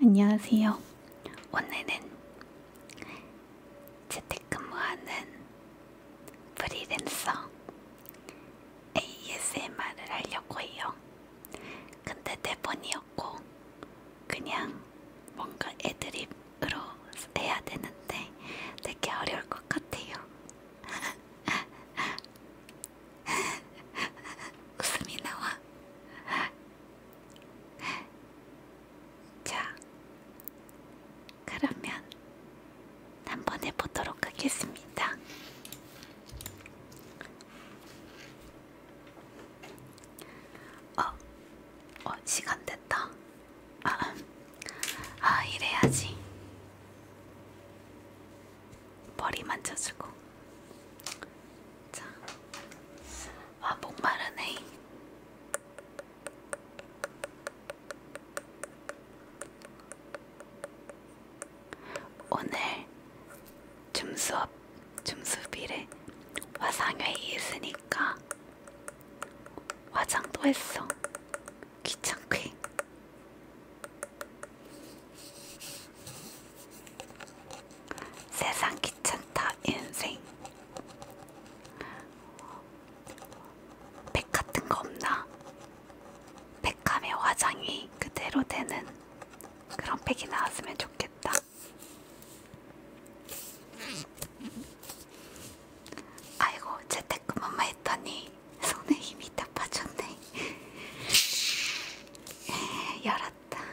안녕하세요. 오늘은 재택근무하는 프리랜서 ASMR을 하려고 해요. 근데 대본이었고 그냥 뭔가 애드립으로 해야 되는데 되게 어려울 것 같아요. 웃음이 나와. 자, 그러면 한번 해보도록 하겠습니다. 어, 어, 시간 됐다. 아, 아 이래야지. 머리 만져주고 자, 아 목마르네. 오늘 줌수업 줌수비를 화상회의 했으니까 화장도 했어. 귀찮게. 세상 귀찮다 인생 백 같은 거 없나? 백함의 화장이 그대로 되는 그런 백이 나왔으면 좋겠다. 아이고 재택근무만 했더니 손에 힘이 다 빠졌네. 열하 같다. 아.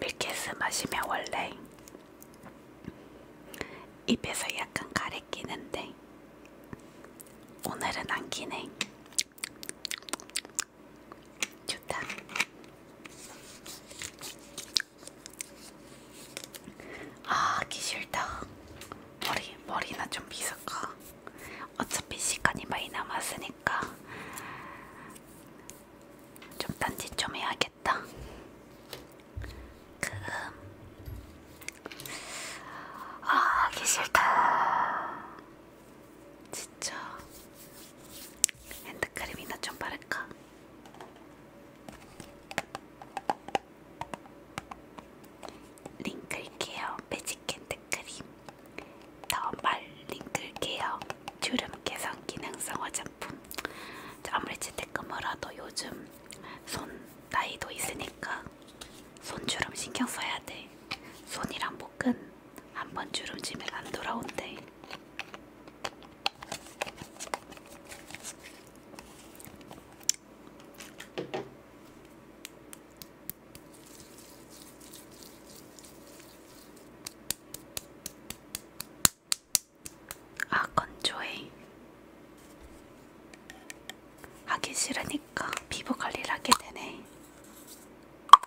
밀키스 마시면 원래 입에서 약간 가래끼는데 오늘은 안 기네. 좋다. 아, 기 싫다. 머리, 머리나 좀 빗을까? 어차피 시간이 많이 남았으니까 좀 딴짓 좀 해야겠다. 그음. 아, 기 싫다. 지쳐. 핸드크림이나 좀 바를까? 링클 케어 매직 핸드크림 더말 링클 케어 주름 개선 기능성 화장품 아무리 재택근무라도 요즘 손 나이도 있으니까 손주름 신경 써야 돼 손이랑 목은 한번 주름지면 안 돌아온대. 아 건조해. 하기 싫으니까 피부 관리를 하게 되네.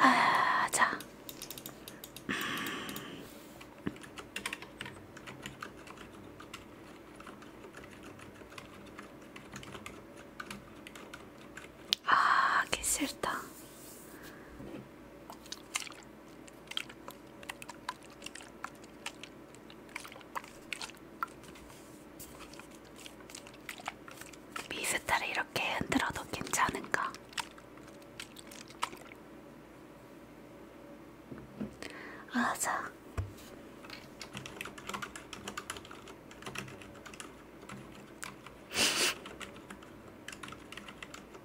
아, 자. 아, 개 싫다. 미스트를 이렇게 흔들어도 괜찮은가? 아자.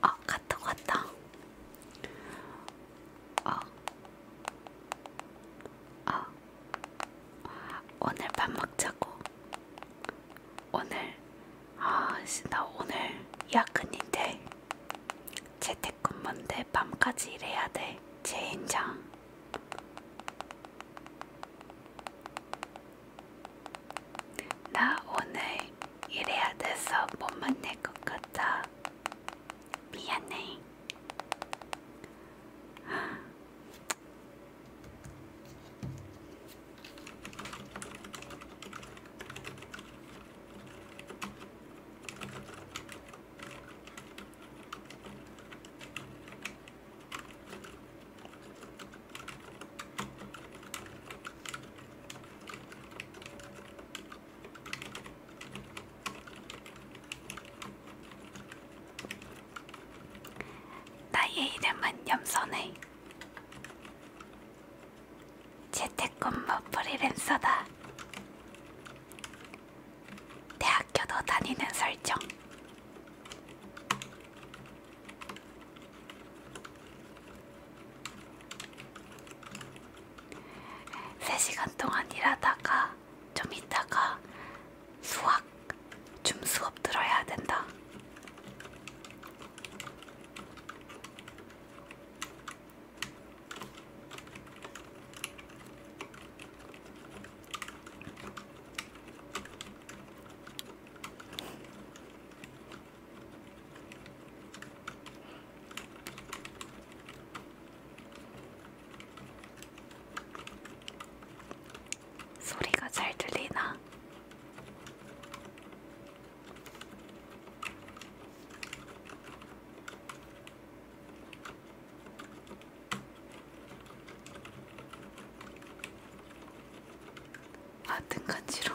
아, 갔다 갔다. 아, 아, 오늘 밥 먹자고. 오늘, 아, 나 오늘 야근인데. 재택근무인데 밤까지 일해야 돼. 제 인장. 나 오늘 일해야 돼서 못 만날 것 같아. 미안해. 나의 이름은 염선해. 재택근무 프리랜서다. 대학 아껴둬 다니는 설정. 세 시간 동안 일하다가 좀 있다가 수학 줌 수업 들어야 된다. 소리가 잘 들리나? 아등 간지러.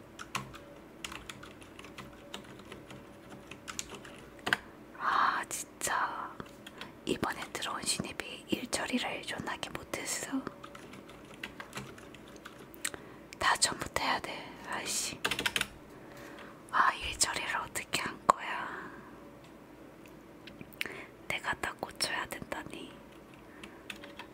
아 진짜 이번에 들어온 신입이 일처리를 존나게 못했어 다 전부터 해야 돼 아이씨 아 일처리를 어떻게 한 거야 내가 다 고쳐야 된다니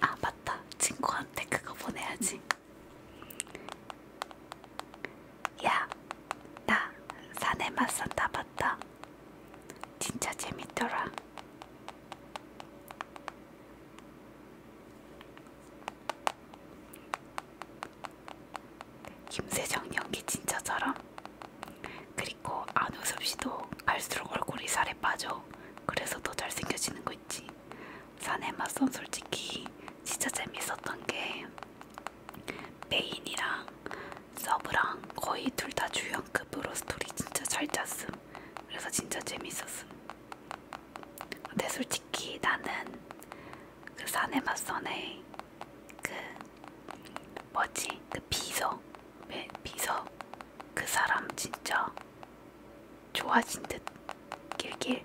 아 맞다 친구한테 그거 보내야지 야 나 산에 맛산 다 봤다 진짜 재밌더라 김세정 연기 진짜처럼? 그리고 안우섭 씨도 갈수록 얼굴이 살에 빠져. 그래서 더 잘생겨지는 거 있지. 산의 맛선 솔직히 진짜 재밌었던 게 메인이랑 서브랑 거의 둘 다 주연급으로 스토리 진짜 잘 짰음. 그래서 진짜 재밌었음. 근데 솔직히 나는 그 산의 맛선에 그 뭐지 그 비서 왜 네, 비서 그 사람 진짜 좋아진 듯 길길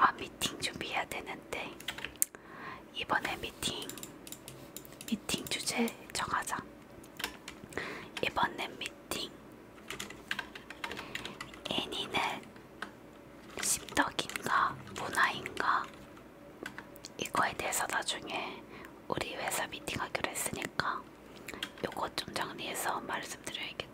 아 미팅 준비해야 되는데 이번에 미팅 미팅 주제 정하자. 이번엔 미팅. 애니는 십덕인가 문화인가 이거에 대해서 나중에 우리 회사 미팅하기로 했으니까 요거 좀 정리해서 말씀드려야겠다.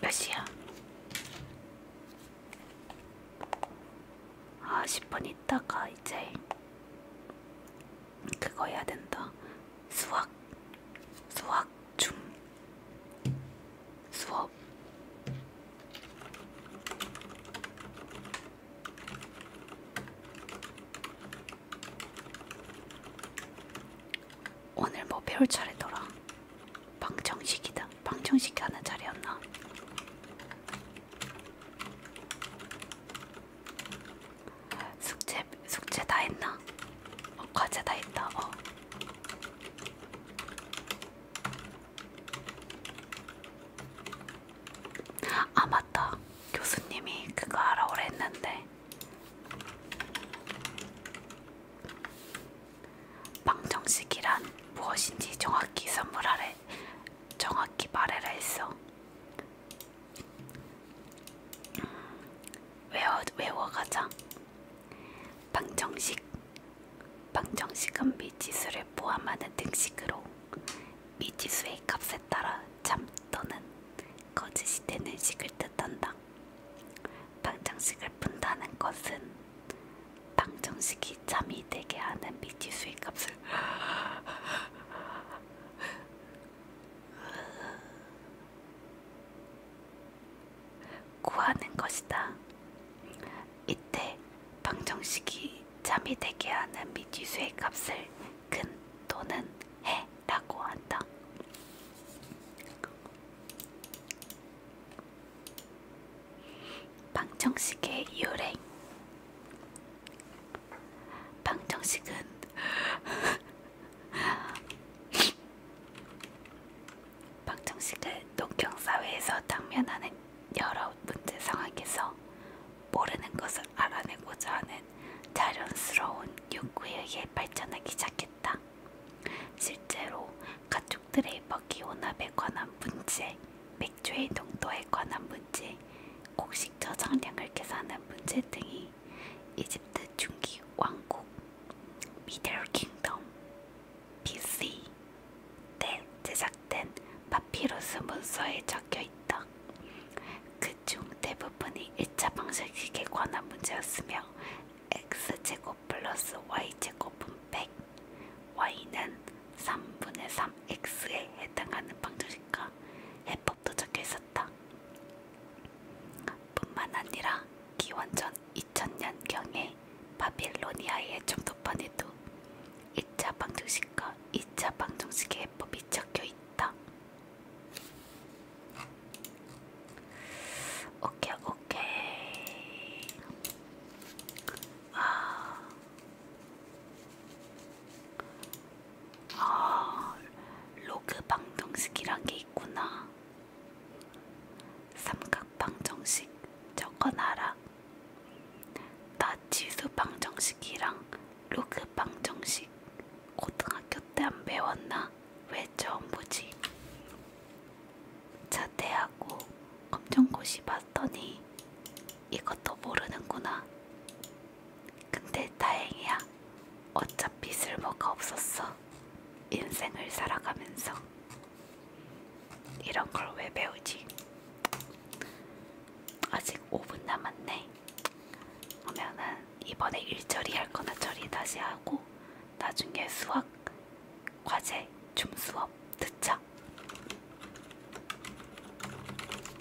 몇 시야? 아 10분 있다가 이제 그거 해야 된다. 수학, 수학 중 수업. 오늘 뭐 배울 차례더라. 방청식이다. 방청식 하는 자리였나? 숙제 숙제 다 했나? 어, 과제 다 했다. 어. 아 맞다. 교수님이 그거 알아오라 했는데 방정식이란 무엇인지 정확히 선물하래. 정확히 말해라 했어. 외워 외워가자. 방정식 방정식은 미지수를 포함하는 등식으로 미지수의 값에 따라 참 또는 거짓이 되는 식을 뜻한다. 방정식을 푼다는 것은 방정식이 참이 되게 하는 미지수의 값을 구하는 것이다. 이때 방정식이 잠이 되게 하는 미지수의 값을 근 또는 해라고 한다. 방정식의 유래 방정식은 방정식을 농경사회에서 당면하는 여러 문제 상황에서 모르는 것을 알아내고자 하는 자연스러운 욕구에 의해 발전하기 시작했다. 실제로 가축들의 먹이 혼합에 관한 문제, 몇 액체의 농도에 관한 문제, 곡식 저장량을 계산한 문제 등이 이집트 중기 왕국 미들 킹덤 BC 때 제작된 파피루스 문서에 적혀있다. 그중 대부분이 1차 방정식에 관한 문제였으며 x제곱 플러스 y제곱은 100, y는 3분의 3x에 해당하는 방정식과 해법도 적혀 있었다. 뿐만 아니라 기원전 2000년경에 바빌로니아의 정도판에도 1차 방정식과 2차 방정식의 해법이 적혀 있다. 오케이, 오케이. 아. 아, 로그 방정식이란 게 있구나. 삼각 방정식 적어놔라. 나 지수 방정식이랑 로그 방정식 고등학교 때 안 배웠나? 왜 처음 보지? 자퇴하고 검정고시 봤더니 이것도 모르는구나. 근데 다행이야. 어차피 쓸모가 없었어. 인생을 살아가면서. 이런 걸 왜 배우지? 아직 5분 남았네. 그러면은 이번에 일처리 할 거나 처리 다시 하고 나중에 수학 과제 줌 수업 듣자.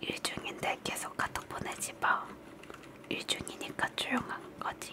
일중인데 계속 카톡 보내지 마. 일중이니까 조용한 거지.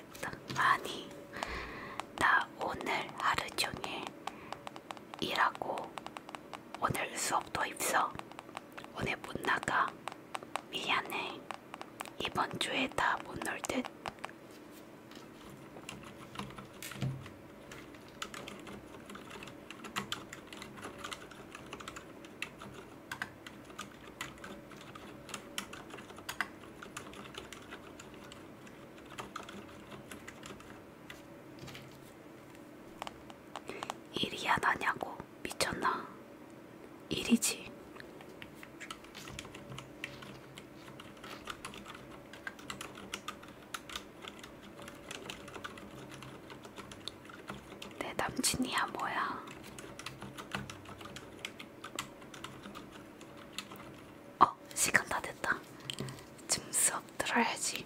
알겠다. 아니, 나 오늘 하루 종일 일하고 오늘 수업도 있어. 오늘 못 나가. 미안해. 이번 주에 다 못놀 듯. 일이야 나냐고 미쳤나? 일이지. 내 남친이야 뭐야? 어, 시간 다 됐다. 지금 수업 들어야지.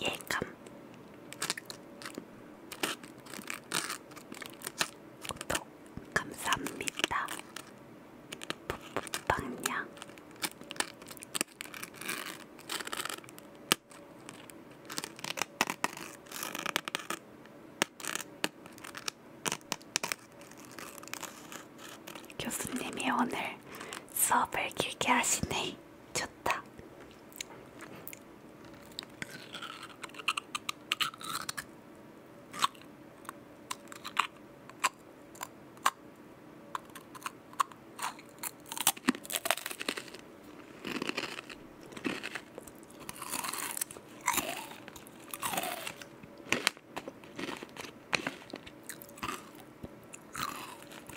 예감 구독 감사합니다. 풋풋빵냥 교수님이 오늘 수업을 길게 하시네. 향이 좋다.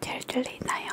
잘 들리나요?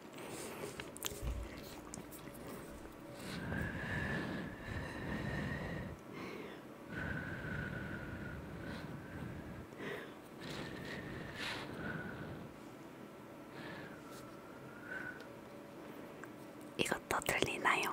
이것도 들리나요?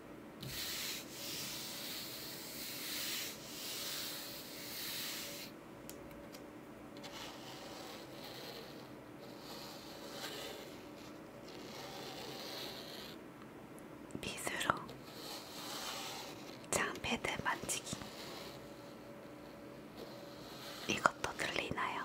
빗으로 장패드 만지기 이것도 들리나요?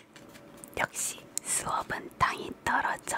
역시 수업은 땅이 떨어져.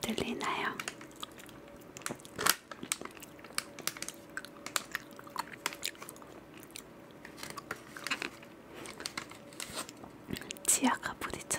들리나요? 치아가 부딪혔다.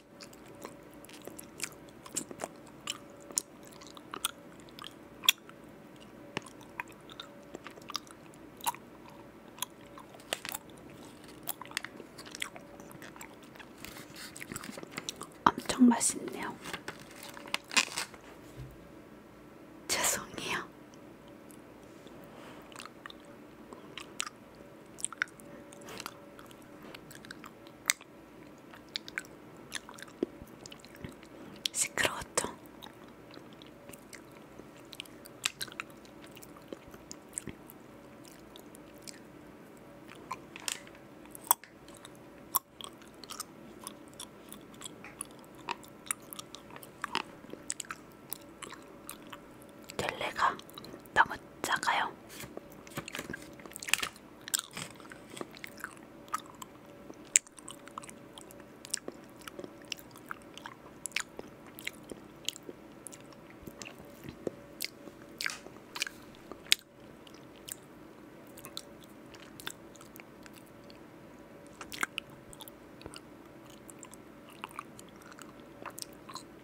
엄청 맛있네요. 죄송해요. 시끄러웠죠? 델레가 너무 작아요.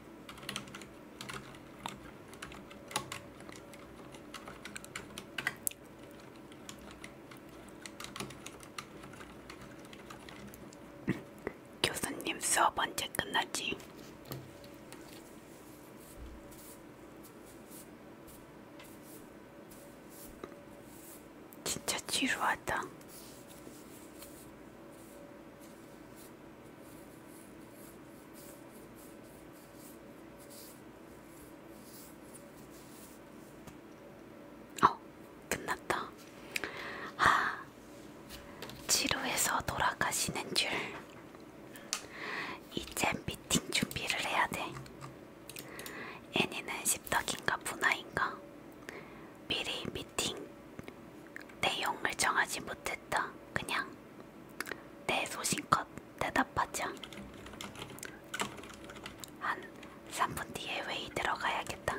교수님 수업 언제 끝나지? 진짜 지루하다. 어, 끝났다. 아, 치료해서 돌아가시는 줄. 이제 미팅 준비를 해야 돼. 애니는 십덕인가 분화인가? 미리 미 미팅 내용을 정하지 못했다. 그냥 내 소신껏 대답하자. 한 3분 뒤에 회의 들어가야겠다.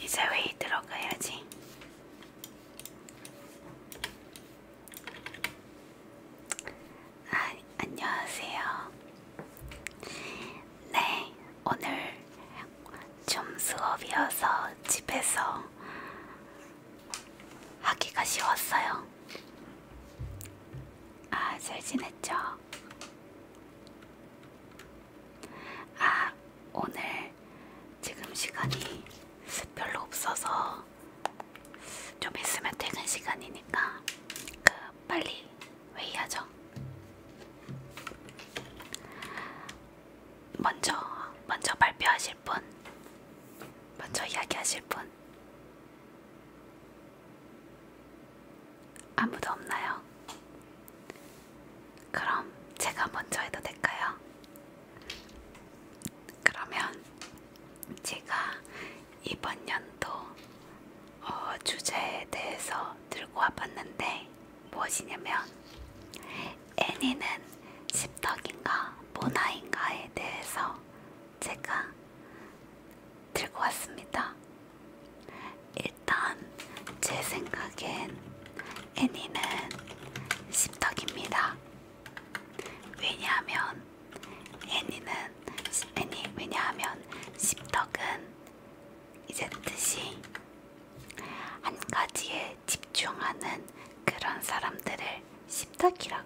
이제 회의 들어가야지. 아, 안녕하세요. 네, 오늘 좀 수업이어서 집에서 하기가 쉬웠어요. 아, 잘 지냈죠? 아, 오늘 지금 시간이 별로 없어서 좀 있으면 퇴근 시간이니까 그 빨리 회의하죠. 먼저 먼저 발표하실 분, 먼저 이야기하실 분. 아무도 없나요? 그럼 제가 먼저 해도 될까요? 그러면 제가 이번 연도 어, 주제에 대해서 들고 와봤는데 무엇이냐면 애니는 십덕인가 모나인가에 대해서 제가 들고 왔습니다. 일단 제 생각엔 애니는 십덕입니다. 왜냐하면 애니는 애니 왜냐하면 십덕은 이제 뜻이 한 가지에 집중하는 그런 사람들을 십덕이라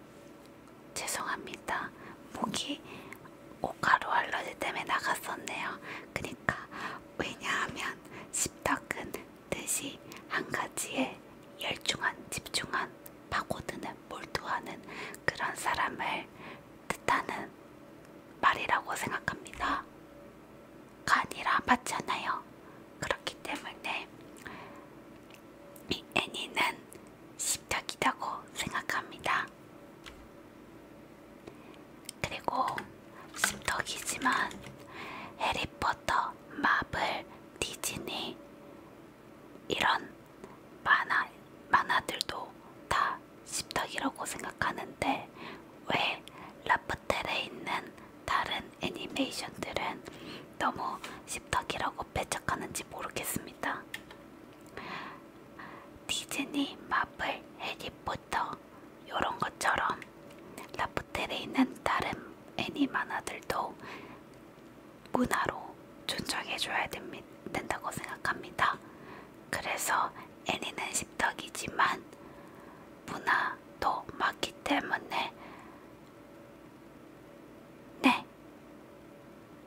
죄송합니다. 목이 오카로 알러지 때문에 나갔었네요. 그니까 왜냐하면 십덕은 뜻이 한 가지에 열중한 집중한 파고드는 몰두하는 그런 사람을 뜻하는 말이라고 생각합니다. 간이라 맞잖아요. 그렇기 때문에 이 애니는 십덕이라고 생각합니다. 그리고 씹덕이지만 해리포터, 마블, 디즈니 이런 만화, 만화들도 다 씹덕이라고 생각하는데 왜 라프텔에 있는 다른 애니메이션들은 너무 씹덕이라고 배척하는지 모르겠습니다. 디즈니, 마블, 해리포터 요런 것처럼 라프텔에 있는 다른 애니만화들도 문화로 존중해줘야 됩니, 된다고 생각합니다. 그래서 애니는 십덕이지만 문화도 맞기 때문에 네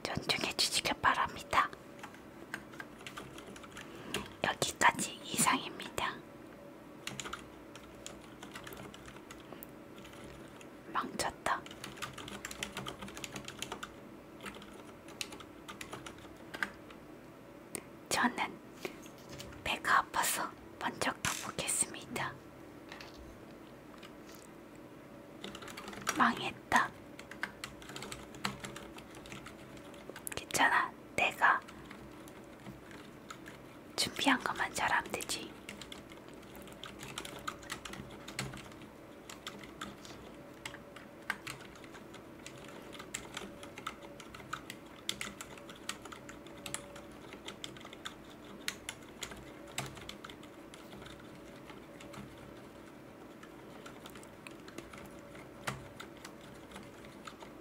존중해주시길 바랍니다. 여기까지 이상입니다. 망쳤다. 저는 배가 아파서 먼저 가보겠습니다. 망했다. 괜찮아. 내가 준비한 것만 잘하면 되지.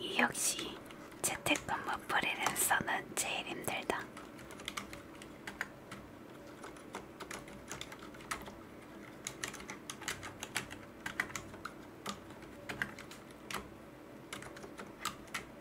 이 역시 재택근무 프리랜서는 제일 힘들다.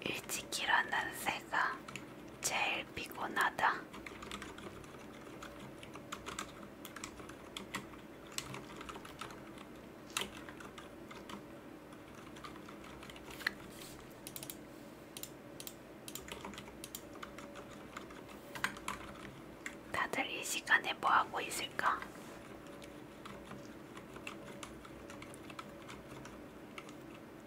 일찍 일어난 새가 제일 피곤하다. 다들 이 시간에 뭐 하고 있을까?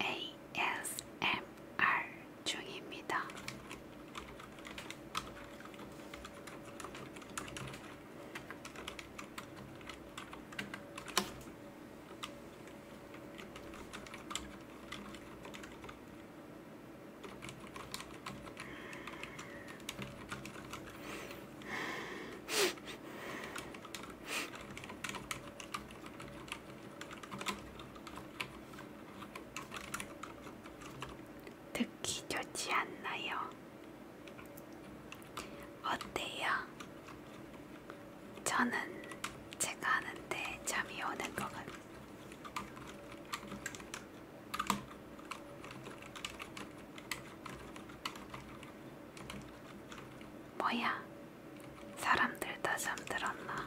ASMR 중입니다. 듣기 좋지 않나요? 어때요? 저는 제가 하는데 잠이 오는 것 같아요. 뭐야? 사람들 다 잠들었나?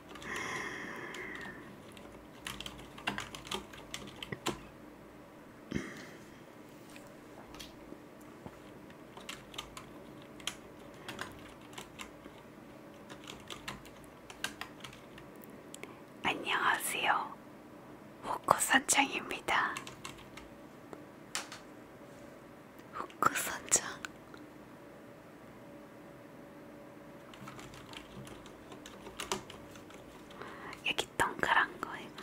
안녕하세요. 후쿠선장입니다. 후쿠선장 여기 동그란 거 이거.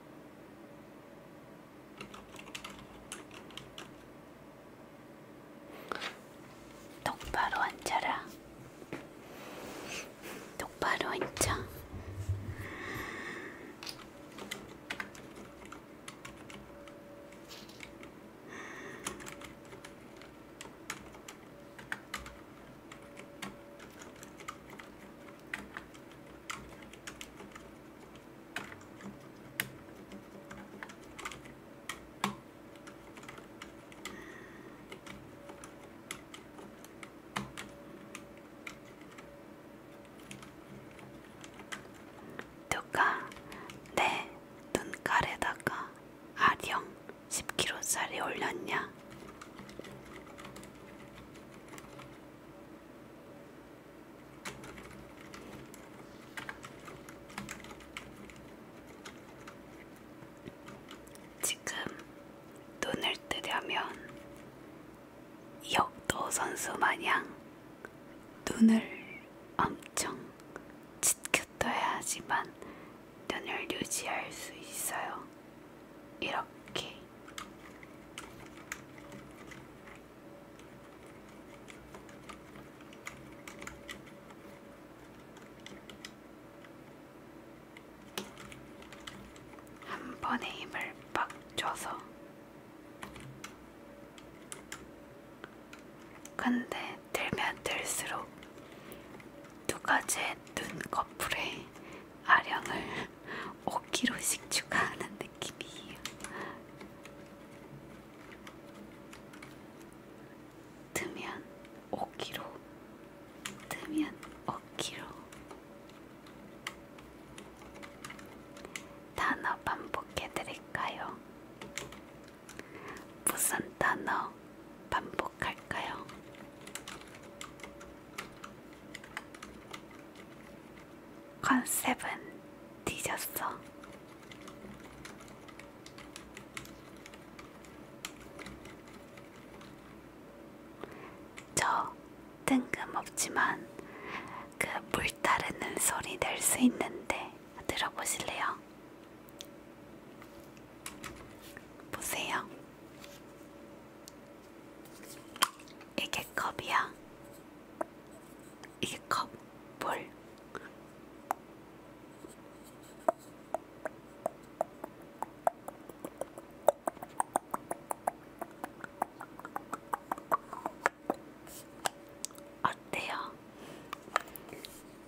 똑바로 앉아라. 똑바로 앉아. 누가 내 눈깔에다가 아령 10kg짜리 올렸냐? 지금 눈을 뜨려면 역도 선수 마냥 눈을 엄청 지켜둬야 하지만 눈을 유지할 수 있어요. 이렇게 한 번에 힘을 빡 줘서 근데 들면 들수록 두 가지의 눈꺼풀에 아령을 5kg씩 추가하는 느낌이에요. 뜨면 5kg, 뜨면 5kg. 단어 반복해드릴까요? 무슨 단어 반복할까요? 컨셉은 뒤졌어. 저 뜬금없지만 그 물 따르는 소리 낼 수 있는데 들어보실래요? 보세요. 이게 컵이야? 이게 컵? 볼? 어때요?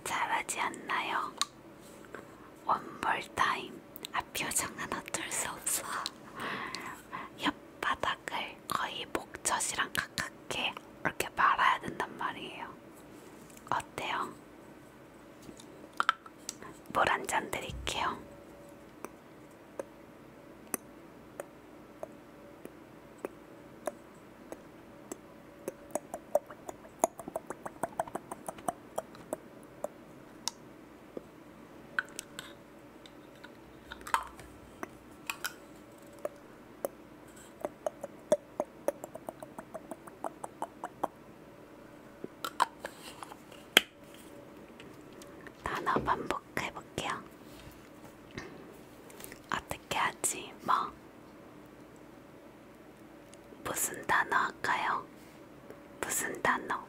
잘하지 않나요? 원볼 타임. 아 표정은 어쩔 수 없어. 혓바닥을 거의 목젖이랑 가깝게 이렇게 말아야 된단 말이에요. 어때요? 물한잔 드릴게요. 단어 반복해볼게요. 어떻게 하지? 뭐? 무슨 단어 할까요? 무슨 단어?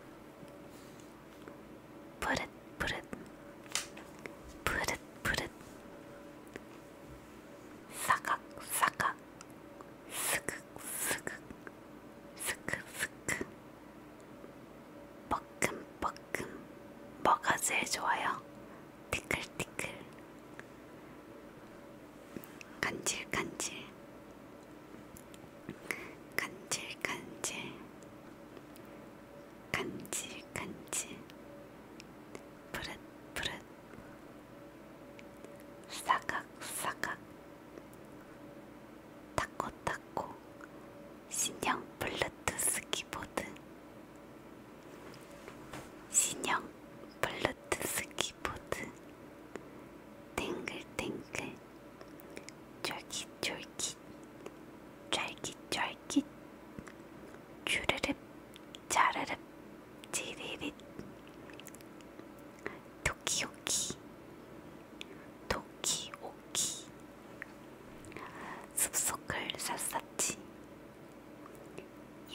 푸릇푸릇 푸릇푸릇 사각사각 스크스크 스크스크 뻐끔뻐끔 뭐가 제일 좋아요? 티끌티끌 간질간질 간질간질 간질간질 푸릇푸릇 사각사각 타코타코 신형 블루투스 키보드 신형 블루투스 키보드 땡글땡글 쫄깃쫄깃 쫄깃 쫄깃 쫄깃 주르륵 자르륵 지리릿 도키오키 도키오키 숲속을 샅샅이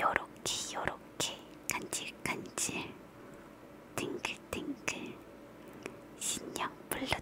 요렇게 요렇게 간질간질 띵글띵글 신형 블랙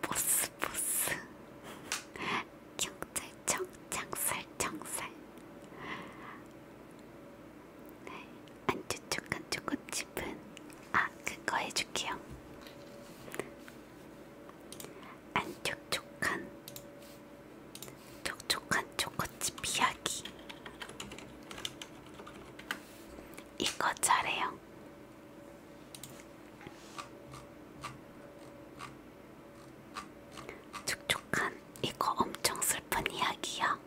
보스 보스 경찰청 장살 장살 네, 안주촉한 초코칩은 아 그거 해줄게요 안촉촉한 촉촉한 초코칩 이야기 이거 잘해요 촉촉한 이거 엄청 슬픈 이야기야.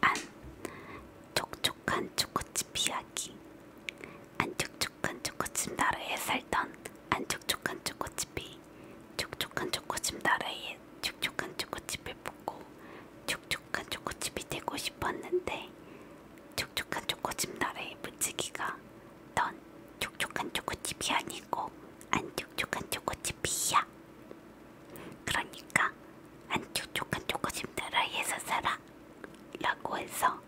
안 촉촉한 초코칩 이야기. 안 촉촉한 초코칩 나라에 살던 안 촉촉한 초코칩이 촉촉한 초코칩 나라에 촉촉한 초코칩을 보고 촉촉 촉촉한 초코칩이 되고 싶었는데 촉촉한 초코칩 나라의 무지기가 넌 촉촉한 초코칩이 아니고 안 촉촉한 초코칩이야. 그러니까 안 촉촉한 초코칩 나라에서 살아. 라고 해서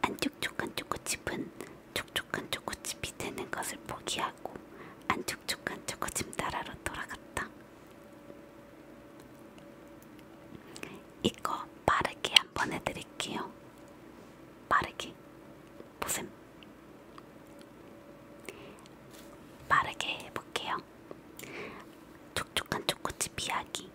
안 촉촉한 초코칩은 촉촉한 초코칩이 되는 것을 포기하고 안 촉촉한 초코칩 나라로 돌아갔다. 이거 빠르게 한번 해드릴게요. 빠르게 보셈. 빠르게 해볼게요. 촉촉한 초코칩 이야기.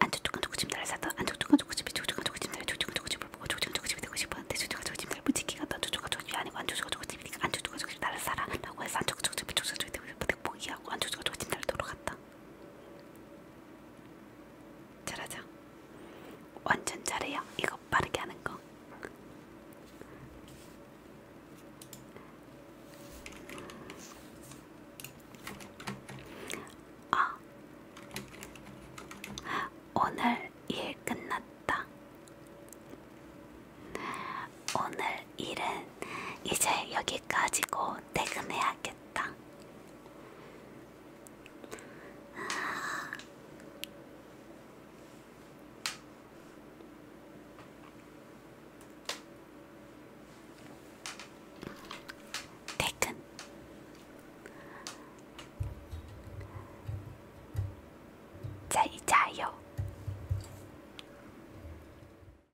안 촉촉한 초코칩 날 사다. 안 촉촉한 초코칩이 촉촉한 초코칩 날 촉촉한 초코칩을 보고 촉촉한 초코칩이 되고 싶었는데 촉촉한 초코칩 날 부지기가 난 촉촉한 초코칩이 아니고 안 촉촉한 초코칩이니까 안 촉촉한 초코칩 나를 사라라고 해서 안 촉촉한 초코칩 촉촉한 초코칩 되고 싶었는데 포기하고 안 촉촉한 초코칩 날 돌아갔다. 잘하죠? 완전 잘해요. 이거 빠르게 하는 거. 아, 오늘 일 끝났다. 오늘 할 일은 이제 여기까지고 퇴근해야겠다. 퇴근. 자, 이자요.